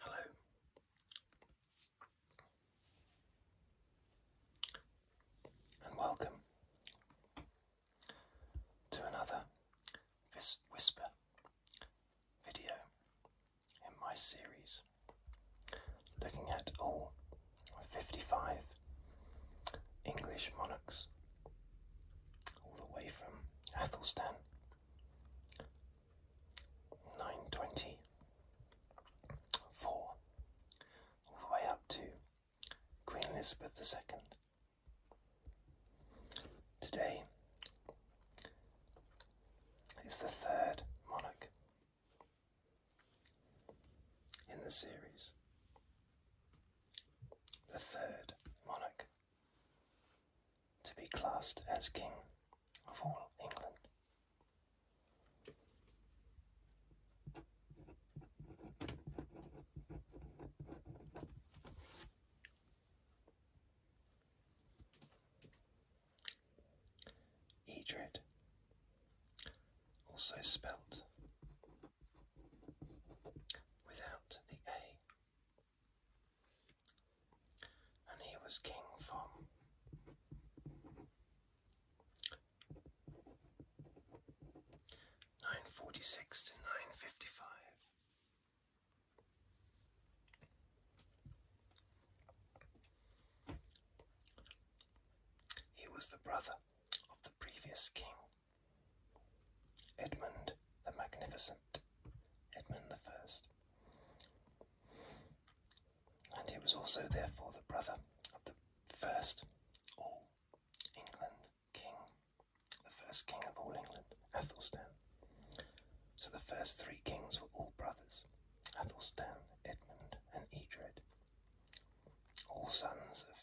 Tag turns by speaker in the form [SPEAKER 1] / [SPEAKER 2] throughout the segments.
[SPEAKER 1] Hello. And welcome to another Whisper video in my series looking at all 55 English monarchs, all the way from Athelstan, 920, all the way up to Queen Elizabeth II. Today is the third monarch in the series. The third monarch to be classed as King of all England. Edred also spelt without the A. And he was king from nine forty six to nine fifty five. He was the brother of the previous king. Edmund the Magnificent, Edmund the First. And he was also, therefore, the brother of the first all England king, the first king of all England, Athelstan. So the first three kings were all brothers Athelstan, Edmund, and Eadred all sons of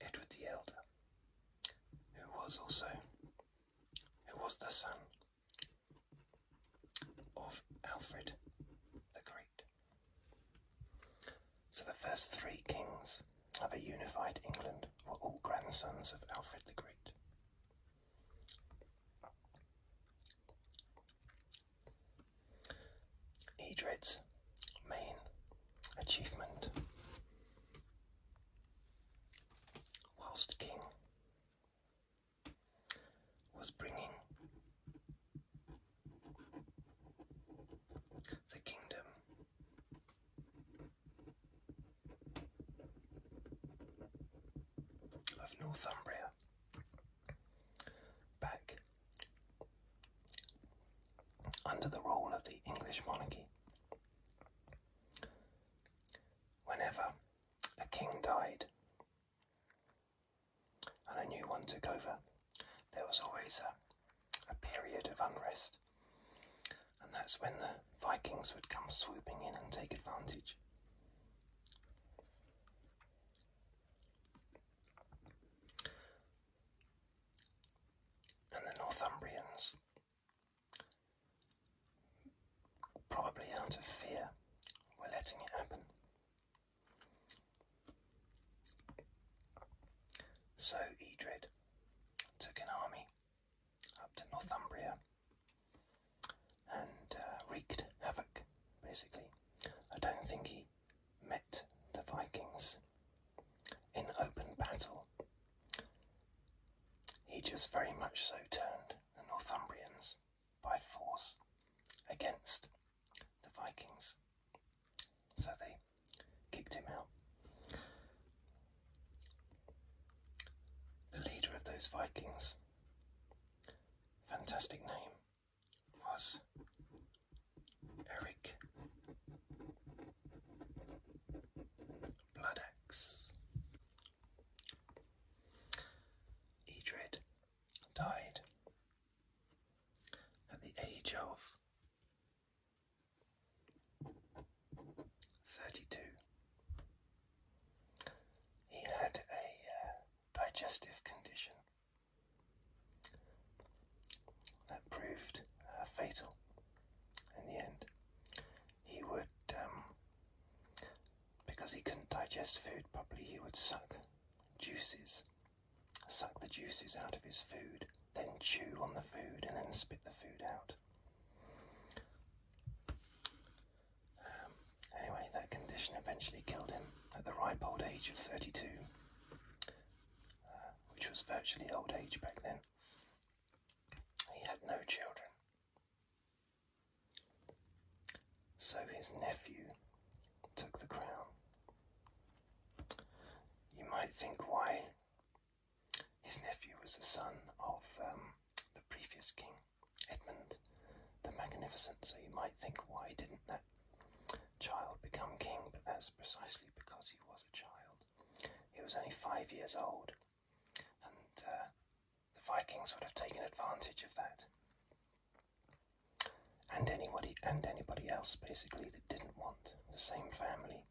[SPEAKER 1] Edward the Elder, who was also who was the son of Alfred the Great. So the first three kings of a unified England were all grandsons of Alfred the Great. Edred's main achievement, whilst king, was bringing the kingdom of Northumbria back under the rule of the English monarchy. Whenever a king died and a new one took over, there was always a a period of unrest, and that's when the Vikings would come swooping in and take advantage. And the Northumbrians, probably out of fear, were letting it happen. So Eadred took an army up to Northumbria and uh, wreaked havoc, basically. I don't think he met the Vikings in open battle. He just very much so turned the Northumbrians by force against the Vikings. So they kicked him out. The leader of those Vikings, fantastic name, was Eric Bloodaxe. Edred died at the age of Thirty-two. He had a uh, digestive condition that proved uh, fatal in the end. He would, um, because he couldn't digest food properly, he would suck juices suck the juices out of his food, then chew on the food, and then spit the food out. Um, anyway, that condition eventually killed him at the ripe old age of 32, uh, which was virtually old age back then. He had no children. So his nephew took the crown you might think why his nephew was the son of um, the previous king, Edmund the Magnificent, so you might think why didn't that child become king? But that's precisely because he was a child. He was only five years old, and uh, the Vikings would have taken advantage of that and anybody and anybody else basically that didn't want the same family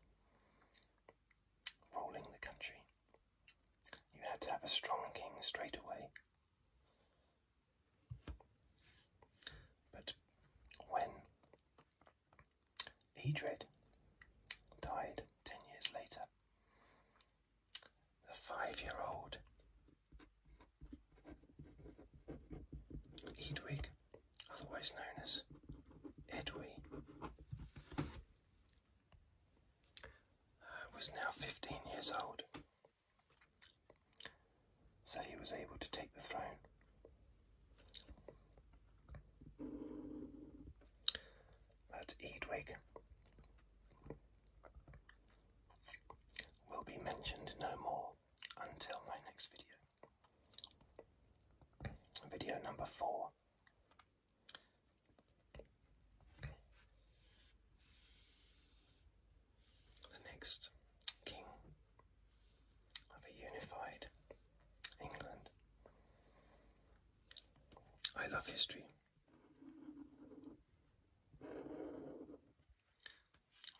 [SPEAKER 1] ruling the country. You had to have a strong king straight away. But when Edred died ten years later, the five year old Edwig, otherwise known as Edwy, uh, was now 15 years old, so he was able to take the throne. But Edwig will be mentioned no more until my next video. Video number four. The next king of a unified England. I love history.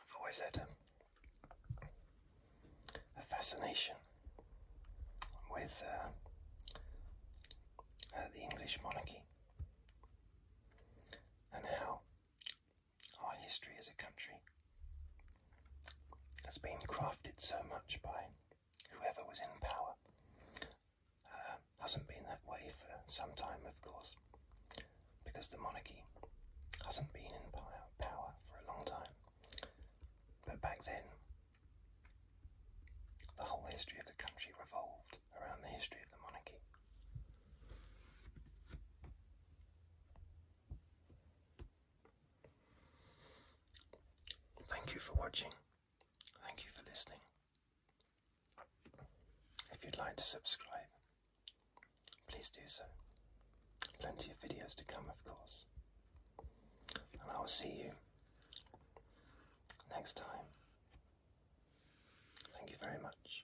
[SPEAKER 1] I've always had a, fascination with uh, uh, the English monarchy and how our history as a country has been crafted so much by whoever was in power. Uh, hasn't been that way for some time, of course, because the monarchy hasn't been in power for a long time. But back then, the whole history of the country revolved around the history of the monarchy. Thank you for watching. Thank you for listening. If you'd like to subscribe, please do so. Plenty of videos to come, of course. And I will see you next time. Thank you very much.